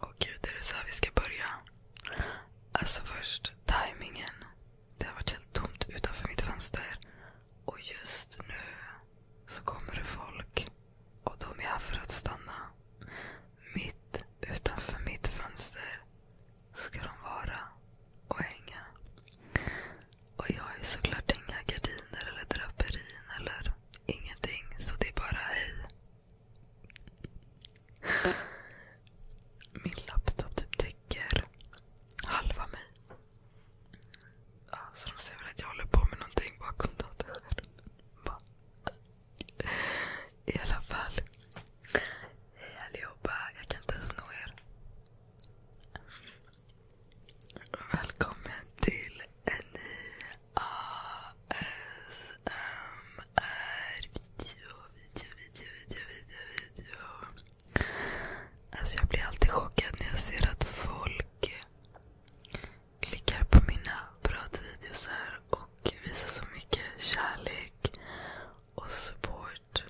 Åh gud, är det så här vi ska börja? Alltså först, timingen. Det har varit helt tomt utanför mitt fönster. Och just nu så kommer det folk. Och de är här för att stanna. Mitt utanför mitt fönster ska de vara och hänga. Och jag har ju såklart inga gardiner eller draperin eller ingenting. Så det är bara hej. Min laptop typ täcker halva mig. Ja, så de ser väl att jag håller på med någonting bakom datorn. Bara. I alla fall. Hej allihopa. Jag kan inte ens nå er. Välkommen till en ny ASMR-video. Alltså, jag blir alltid chockad när jag ser att folk klickar på mina pratvideos och visar så mycket kärlek och support.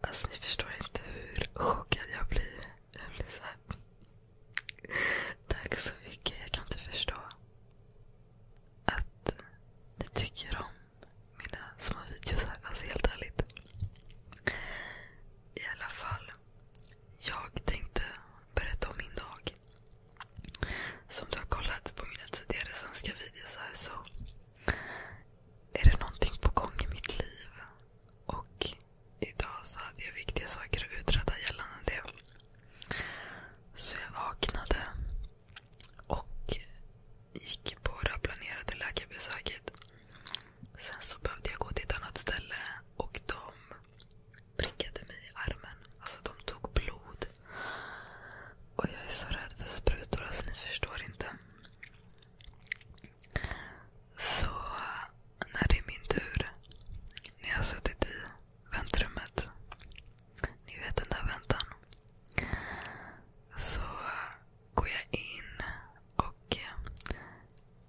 Alltså ni förstår inte hur chockad jag blir. Jag blir så Tack så mycket. Jag kan inte förstå att ni tycker om mina små videos Alltså helt ärligt. I alla fall. Jag tänkte berätta om min dag. Som du har kollat på mina tidigare svenska videos här så är det någonting på gång i mitt liv. Och idag så hade jag viktiga saker att utreda gällande det. Så jag vaknade och gick på det planerade läkarbesöket. Sen så behövde jag gå till ett annat ställe och de prickade mig i armen. Alltså de tog blod. Och jag är så rädd för sprutor, alltså ni förstår inte. Så när det är min tur, när jag har suttit i väntrummet, ni vet den där väntan. Så går jag in och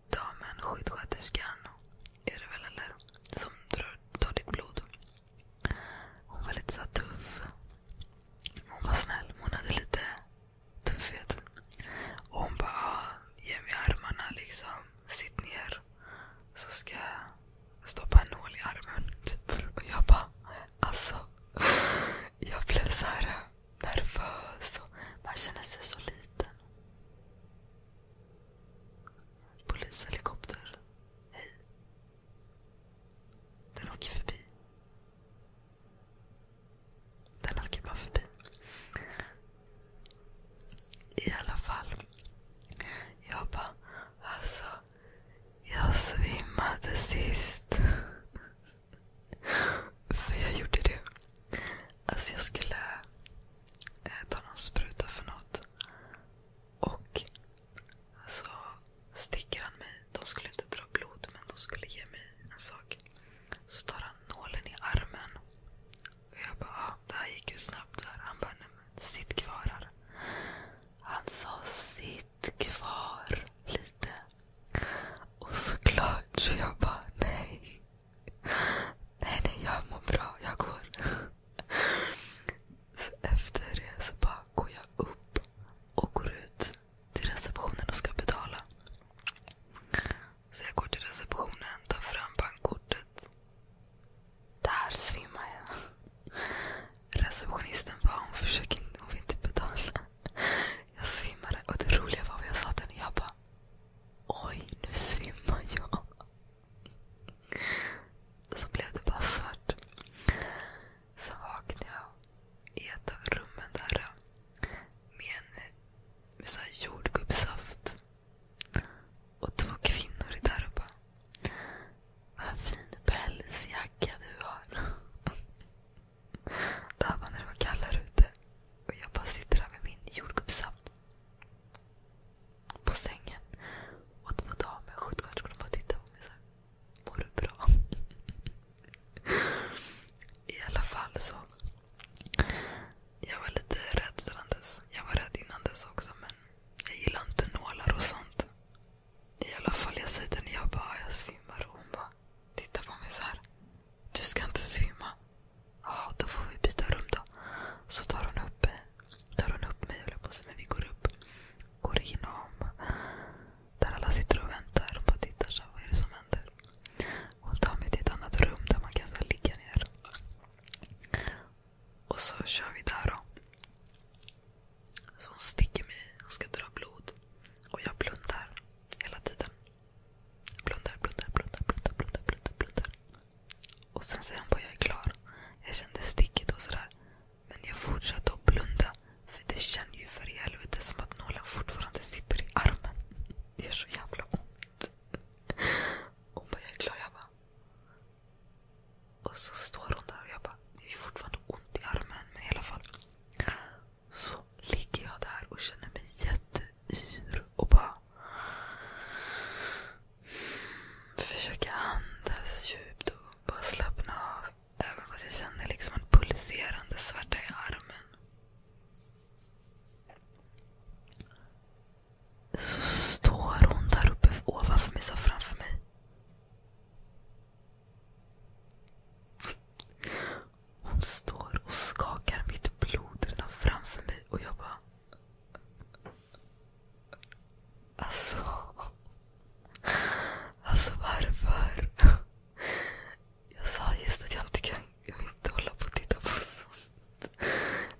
damen, sjuksköterskan, är det väl eller? Som tar ditt blod. Hon var lite så tuff. Hon var snäll. Hon hade lite tuffhet. Och hon bara, ah, ge mig armarna liksom. Sitt ner. Så ska jag stoppa en nål i armen. Typ. Och jag bara, alltså. Jag blev så nervös. man känner sig så liten. Polishelikopter. Hej. Den åker förbi. Den åker bara förbi. I alla fall. Jag bara, alltså. Jag svimmade sist. För jag gjorde det. Alltså jag skulle eh, ta någon spruta för något. Och så alltså, sticker han mig. De skulle inte dra blod men de skulle ge mig en sak. Så tar han nålen i armen. Och jag bara, ah, det här gick ju snabbt. Här. Han bara, nej men sitt kvar här. Han sa, sitt kvar lite. Och såklart så jag bara, nej. Nej, nej, jag mår bra. Jag går. Så efter det så bara går jag upp och går ut till receptionen och ska betala. Så jag går till receptionen, tar fram bankkortet. Där svimmar jag. Receptionisten bara, hon försöker hon vill inte betala. Jag svimmade och det roliga var vad jag sa till henne. Jag bara, Oj, nu svimmar jag. Så blev det bara svart. Så vaknade jag i ett av rummen där eh, med jordgubbssaft. Och två kvinnor är där Vad fin pälsjacka du har. Det här var när det var kallare ute. Och jag bara sitter där med min jordgubbssaft på sängen. Och det var damer, sjuksköterskorna bara tittade på mig såhär. Mår du bra? I alla fall så. Jag var lite rädd sedan dess. Jag var rädd innan dess också men jag gillar inte nålar och sånt. I alla fall jag säger till henne, jag bara jag svimmar och hon bara tittar på mig så här. Du ska inte svimma. Ja, då får vi byta rum då. Så tar hon upp, tar hon upp mig, håller på sig, men vi går upp. Går igenom där alla sitter och väntar och bara tittar. Så, vad är det som händer? Hon tar mig till ett annat rum där man kan så ligga ner. Och så kör vi där då. Så hon sticker mig Hon ska dra blod. Och jag blundar hela tiden. Blundar, blundar, blundar, blundar, blundar, blundar, blundar. Och sen säger hon bara jag är klar. Jag kände sticket och sådär. Men jag fortsatte att blunda. För det känns ju för i helvete som att nålen fortfarande sitter i armen. Det gör så jävla ont. Hon bara, jag är klar. Jag bara. Och så står hon där och jag bara, det är fortfarande ont i armen. Men i alla fall. Så ligger jag där och känner mig jätte yr och bara försöka andas djupt och bara slappna av. Även fast jag känner liksom en pulserande svärta i armen. Så står hon där uppe ovanför mig, så framför mig. Hon står och skakar mitt blod redan framför mig och jag bara... Alltså... Alltså varför? Jag sa just att jag inte kan jag vill inte hålla på och titta på sånt.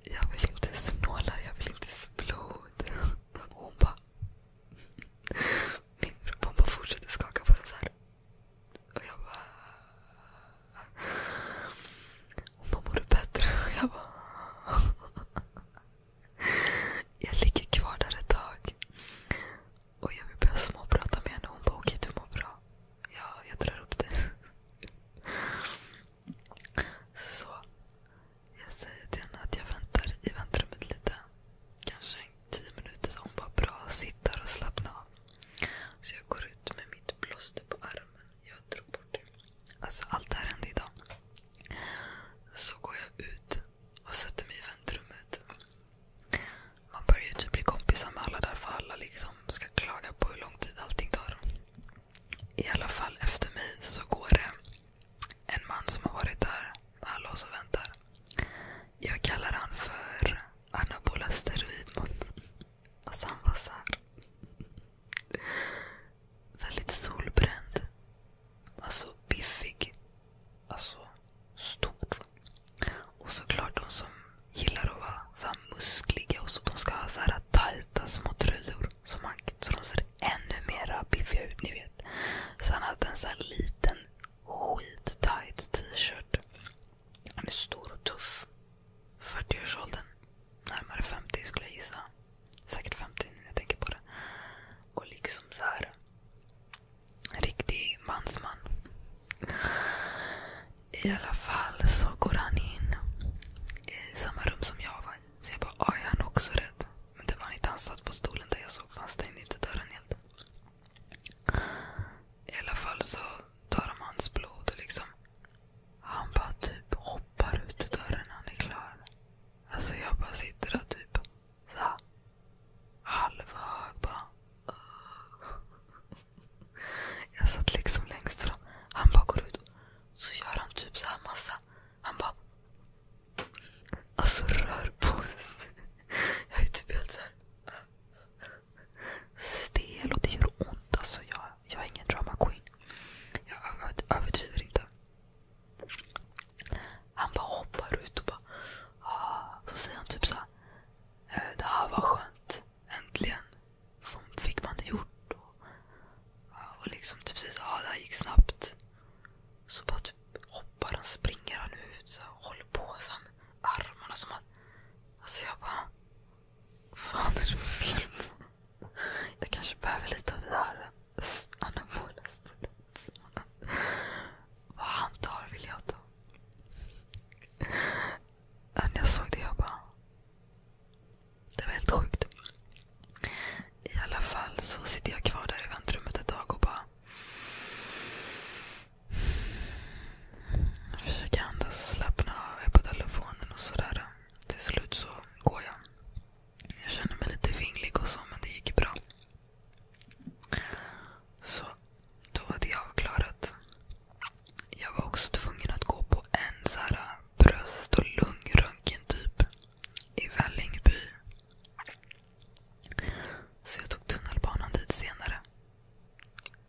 Jag vill inte se nålar, jag vill inte se blod. Och hon bara... Min rumpa bara fortsätter skaka på den så här. Och jag bara... Hon bara, mår du bättre? Och jag bara... Jag ligger kvar där ett tag. Och jag vill börja småprata med henne. Hon bara, okej du mår bra. Ja, jag drar upp det. Så. Jag säger till henne att jag väntar i väntrummet lite. Kanske 10 minuter. hon bara, bra. Sitt där och slappna av. Så jag går ut med mitt plåster på armen. Jag drog bort det. Alltså allt det här hände idag. Så går jag ut och sätter mig i väntrummet. Man börjar typ bli kompisar med alla där för alla liksom ska klaga på hur lång tid allting tar. I alla fall efter mig så går det en man som har varit där med alla oss och väntar. Jag kallar han för anabola steroidman. Och så han var så här, Väldigt solbränd. Alltså biffig. Alltså stor. Och såklart de som gillar att vara så muskliga och så. De ska ha så här tajta små tröjor. Så, man, så de ser ännu mera biffiga ut, ni vet. Så han hade en så här liten skittajt t-shirt. Han är stor och tuff. 40-årsåldern. Närmare 50 skulle jag gissa. Säkert 50 nu när jag tänker på det. Och liksom så här. En riktig mansman. I alla fall så går han in i samma rum som jag var i. Så jag bara, ja, är han också rädd? Men det var han inte. Han satt på stolen där jag såg för han stängde inte dörren helt. I alla fall så tar de hans blod och liksom... Han bara typ hoppar ut ur dörren när han är klar. Alltså jag bara sitter där typ så halvhög bara. Jag satt liksom längst fram. Han bara går ut så gör han typ så massa. Han bara... Alltså rör på sig. Jag är typ helt såhär stel och det gör ont. Alltså jag, jag är ingen drama queen. Jag överdriver inte. Han bara hoppar ut och bara... Ah. Så säger han typ såhär... Eh, det här var skönt. Äntligen fick man det gjort. Och, och liksom typ säger såhär. ah, det här gick snabbt. Så bara typ hoppar han, springer han ut. Så håller på. Så armarna som att... Alltså jag bara, vad fan är det för film? Jag kanske behöver lite av det där anabola steroidet. Vad han tar vill jag ta. När jag såg det jag bara, det var helt sjukt. I alla fall så sitter jag kvar där i väntrummet ett tag och bara jag försöker andas, slappna av. Jag är på telefonen och sådär. Till slut så går jag. Jag känner mig lite vinglig och så, men det gick bra. Så då var det avklarat. Jag var också tvungen att gå på en bröst och lungröntgen typ i Vällingby. Så jag tog tunnelbanan dit senare.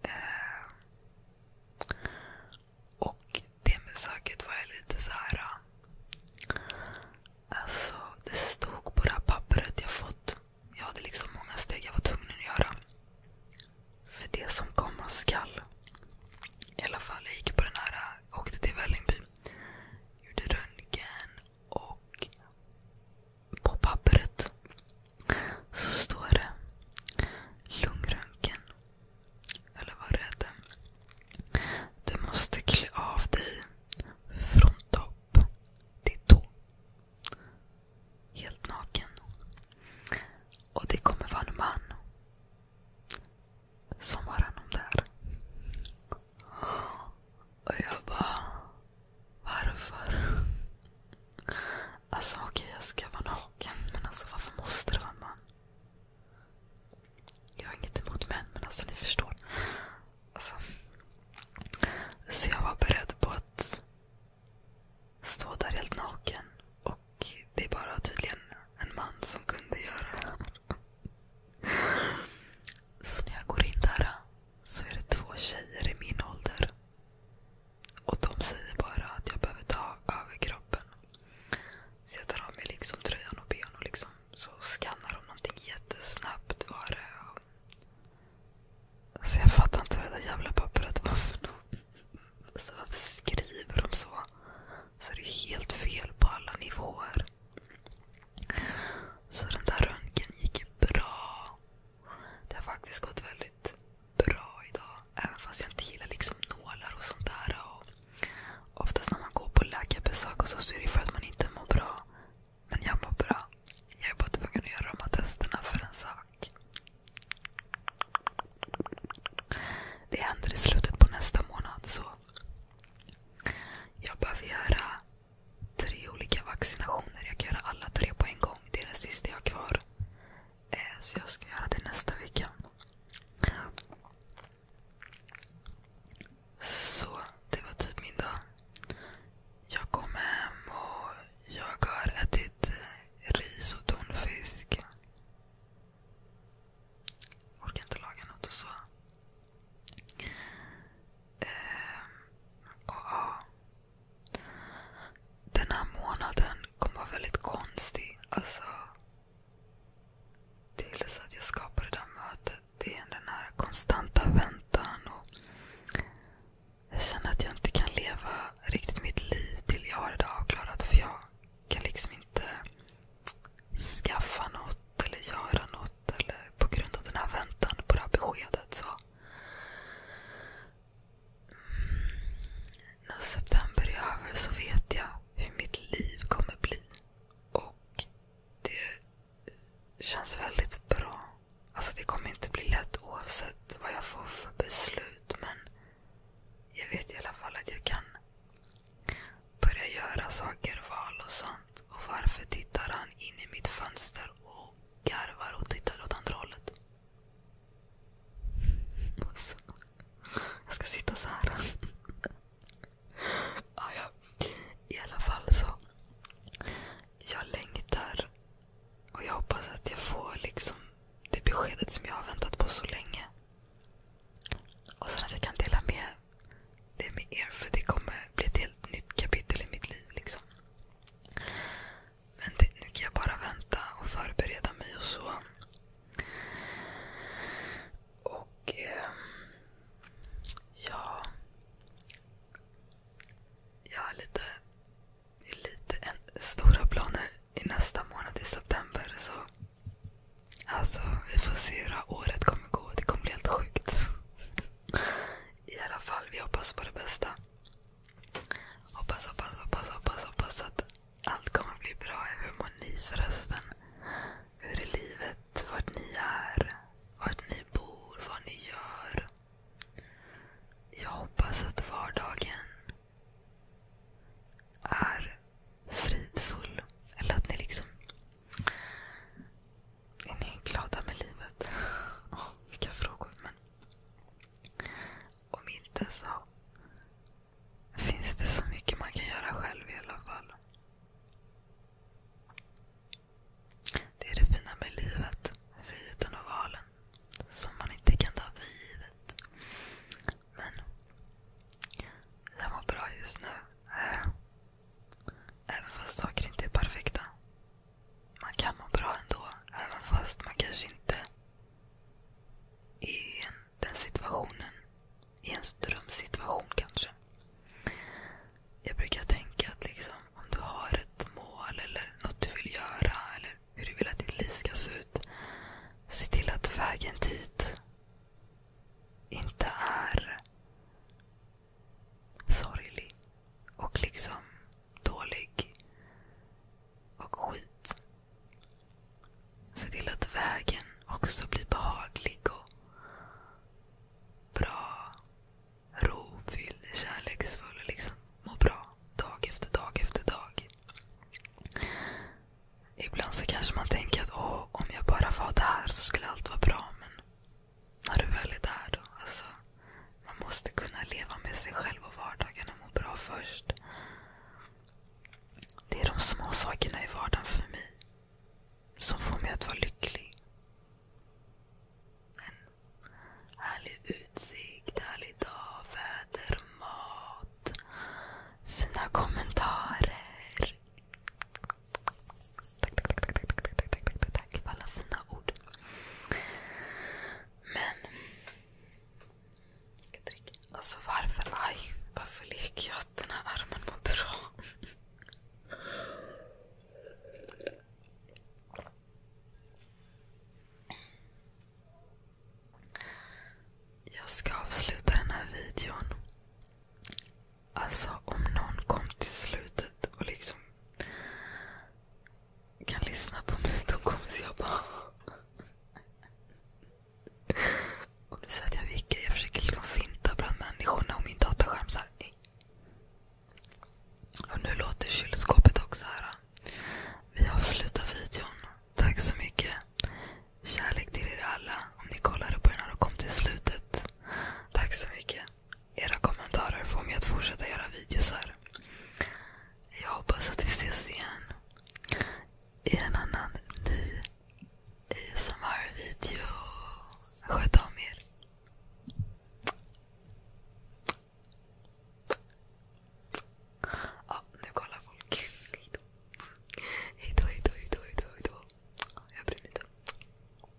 Eh, och det besöket var jag lite så här. Eh, alltså, det stod på det här pappret jag fått. Jag hade liksom många steg jag var tvungen att göra. För det som komma skall. I alla fall, jag gick på den här, eh, åkte till Vällingby. Gjorde röntgen och på pappret så står det lungröntgen. Eller vad det hette. Du måste klä av dig från topp till tå. Helt naken. Och det kommer vara en man som har hand om det här. Och jag bara... Varför? Alltså okej, okay, jag ska vara naken. Men alltså varför måste det vara en man? Jag har inget emot män, men alltså ni förstår. Alltså. Så jag var beredd på att stå där helt naken. Och det är bara tydligen en man som kunde göra det. Så när jag går in där så är det två tjejer i min ålder. Och de säger bara att jag behöver ta över kroppen. Så jag tar av mig liksom tröjan och ben och liksom så skannar de någonting jättesnabbt. Var det. Så jag fattar inte vad det där jävla pappret var för något. Alltså varför skriver de så? Så är det är helt fel på alla nivåer. Så den där röntgen gick ju bra. Det har faktiskt gått väldigt bra idag. Även fast jag inte gillar liksom nålar och sånt där. Och oftast när man går på läkarbesök och så, så är det för att man inte mår bra. Men jag mår bra. Jag är bara tvungen att göra de här testerna för en sak. Det händer i slutet på nästa månad. så Jag behöver göra tre olika vaccinationer. Jag kan göra alla tre på en gång. Det är den sista jag har kvar. Eh, så jag ska göra det nästa vecka. Så det var typ min dag. Jag kom hem och jag har ätit eh, ris och tonfisk. orkar inte laga något och så. Ehm, den här månaden kommer vara väldigt konstig. Alltså, tills att jag skapade det här mötet. Det är den här konstanta väntan. Och jag känner att jag inte kan leva riktigt mitt liv till jag har det avklarat. För jag kan liksom inte skaffa något eller göra något eller på grund av den här väntan på det här beskedet. Så när september är över så vet jag hur mitt liv kommer bli. Och det känns väldigt bra. Alltså det kommer inte bli lätt oavsett vad jag får för beslut. Men jag vet i alla fall att jag kan börja göra saker, val och sånt. Och varför tittar han in i mitt fönster och garvar och tittar åt andra hållet. jag ska sitta så här. I alla fall så. Jag längtar. Och jag hoppas att jag får liksom det beskedet som jag har väntat på så länge. Och sen att jag kan dela med det med er. det kommer bli ett helt nytt kapitel i mitt liv. Liksom. Men det, nu kan jag bara vänta och förbereda mig och så. Och eh, ja... Jag har lite, lite en, stora planer i nästa månad i september. så Alltså, vi får se hur det här året kommer gå. Det kommer bli helt sjukt. I alla fall, vi hoppas på det bästa. Hoppas, hoppas, hoppas, hoppas, hoppas att allt kommer bli bra. Hur mår ni förresten? Hur är livet? Vart ni är? Vart ni bor? Vad ni gör? Jag hoppas att vardagen är fridfull. Eller att ni liksom är ni glada med livet? Oh, vilka frågor. Men om inte så finns det så mycket man kan göra själv i alla fall. Det är det fina med livet. Friheten och valen. Som man inte kan ta för givet. Men jag mår bra just nu. Även fast saker inte är perfekta man kan må bra ändå. Även fast man kanske inte är i den situationen. I en drömsituation kanske. Jag brukar tänka att liksom, om du har ett mål eller något du vill göra eller hur du vill att ditt liv ska se ut. Se till att vägen dit inte är sorglig och liksom dålig och skit. Se till att vägen också blir behaglig och bra, rofylld, kärleksfull och liksom må bra dag efter dag efter dag. Ibland så kanske man tänker att Åh, om jag bara var där så skulle allt vara bra. Men när du väl är där då. Alltså, man måste kunna leva med sig själv och vardagen och må bra först. Det är de små sakerna i vardagen för mig som får mig att vara lycklig. En härlig utsikt, härlig dag, väder, mat, fina kommentarer. Tack, tack, tack, tack, tack, tack, tack, tack, tack för alla fina ord. Men... Jag ska dricka. Alltså varför, aj, varför leker jag att den här armen mår bra? Jag ska avsluta den här videon. Alltså om någon kom till slutet och liksom kan lyssna på mig, då kommer jag bara... Och du säger att jag viker. Jag försöker liksom finta bland människorna och min dataskärm så här. Och nu låter kylskåpet också här. Vi avslutar videon. Tack så mycket. Kärlek till er alla. Om ni kollade på den här och kom till slutet. Tack så mycket. Era kommentarer får mig att fortsätta göra videosar. Jag hoppas att vi ses igen i en annan ny ASMR-video. Sköt om er. Ja, nu kollar folk. Hejdå, hejdå, hejdå, hejdå. hejdå. Jag bryr mig inte.